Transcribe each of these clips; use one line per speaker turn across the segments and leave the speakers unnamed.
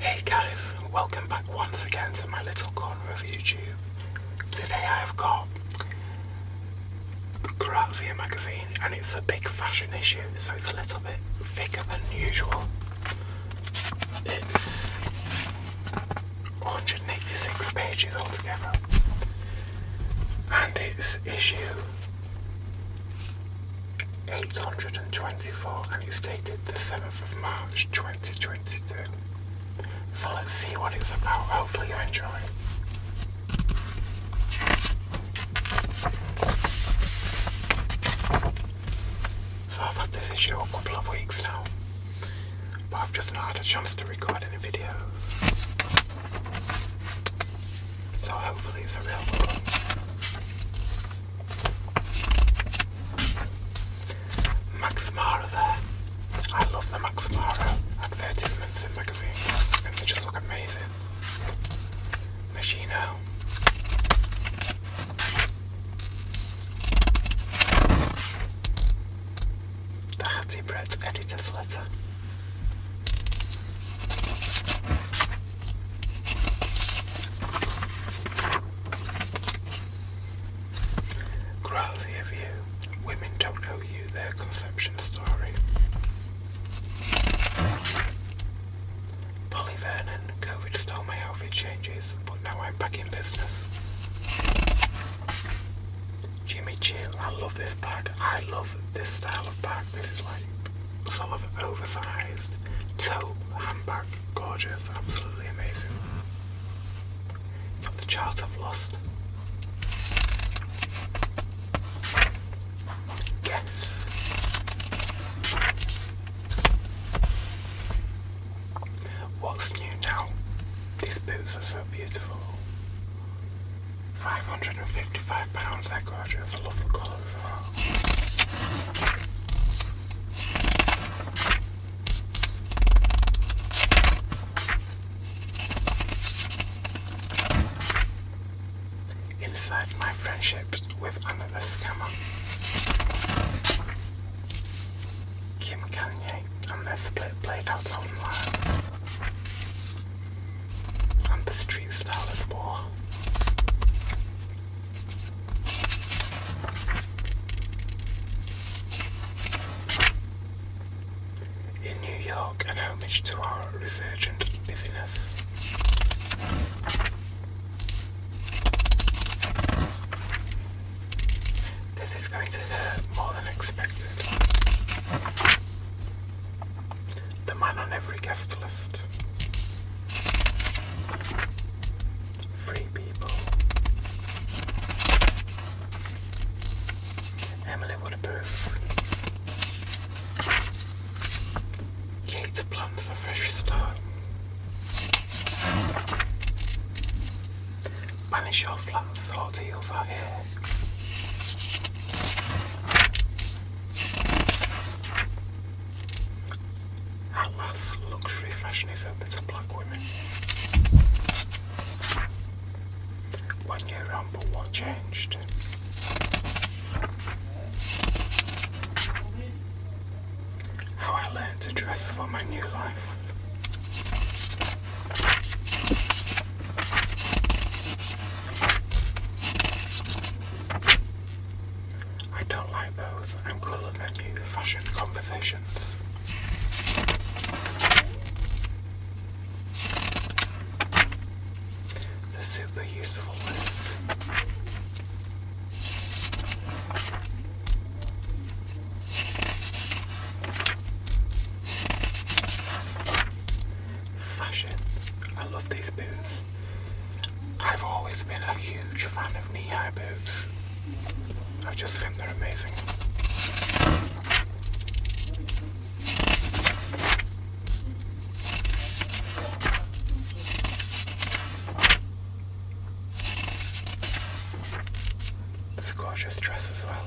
Hey guys, welcome back once again to my little corner of YouTube. Today I've got Grazia magazine and it's a big fashion issue so it's a little bit thicker than usual. It's 186 pages altogether and it's issue 824 and it's dated the 7th of March 2022. So let's see what it's about. Hopefully I enjoy. So I've had this issue a couple of weeks now, but I've just not had a chance to record any videos. So hopefully it's a real one. Max Mara I love the Max Mara advertisements in magazines. they just look amazing. Machino. Dochází projekt edice Slece. Grassy of you. Women don't owe you their conception story. Polly Vernon, COVID stole my outfit changes, but now I'm back in business. Jimmy Choo. I love this bag. I love this style of bag. This is like sort of oversized tote handbag. Gorgeous. Absolutely amazing. Got the chart I've lost. Yes. What's new now? These boots are so beautiful. £555. That goes you a lovely colour as well. Inside my friendships with another scammer. Kim Kanye and their played out online. I'm the street stylist boy. In New York and homage to our resurgent busyness. This is going to hurt more than expected. The man on every guest list. Free people. Emily would approve. Kate plants a fresh start. Banish your flat thought heels are here. How lath luxury fashion is open to black women. One year round, but what changed? How I learned to dress for my new life. I don't like those. I'm cooler than Fashion conversations. The super useful fashion. I love these boots. I've always been a huge fan of knee-high boots. I just think they're amazing. This gorgeous dress as well.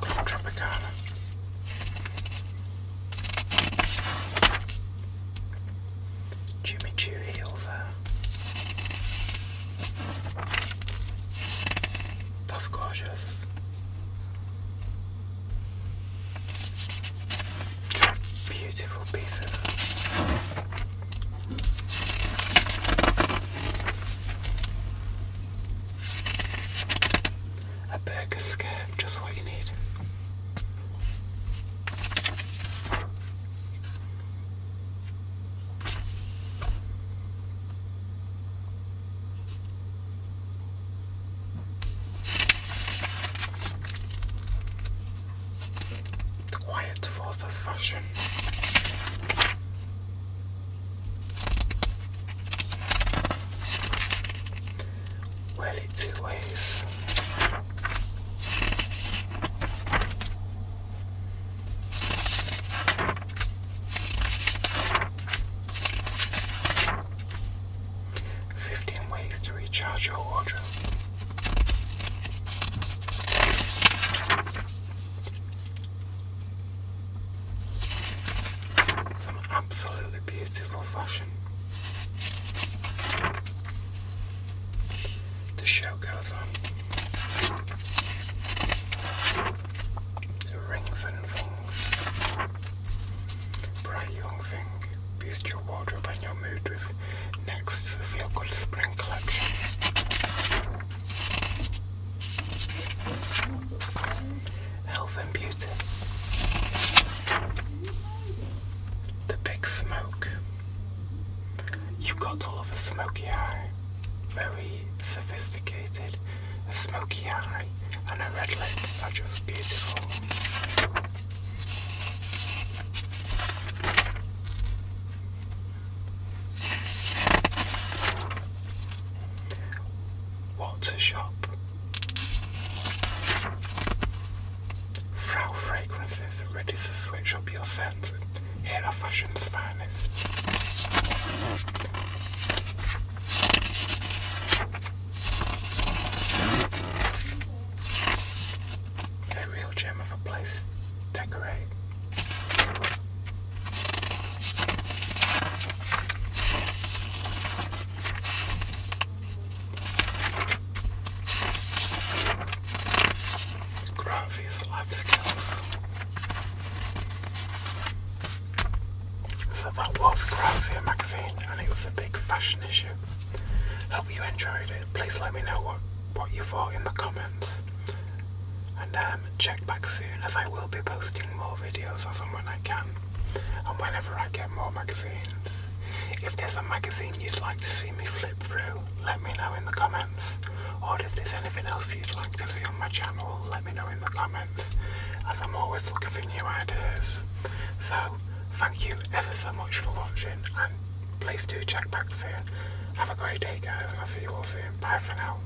Club Jimmy Choo heels That's gorgeous. Beautiful pieces. A burger scarf, just what you need. quiet force of fashion. Well, it two ways. Fifteen ways to recharge your wardrobe. Some absolutely beautiful fashion. The show The rings and things. Bright young thing. Boost your wardrobe and your mood with next the Feel Good Spring collection. Health and Beauty. The Big Smoke. You've got all of a smoky eye. Very sophisticated. A smoky eye and a red lip are just beautiful. What a shop? Frau Fragrances, ready to switch up your scent. Here are fashion's finest. A real gem of a place. Decorate. Graph life skills. So that was Grazia magazine and it was a big fashion issue. Hope you enjoyed it. Please let me know what, what you thought in the comments. And um, um, check back soon as I will be posting more videos as and when I can and whenever I get more magazines. If there's a magazine you'd like to see me flip through, let me know in the comments. Or if there's anything else you'd like to see on my channel, let me know in the comments, as I'm always looking for new ideas. So, thank you ever so much for watching, and please do check back soon. Have a great day guys, and I'll see you all soon. Bye for now.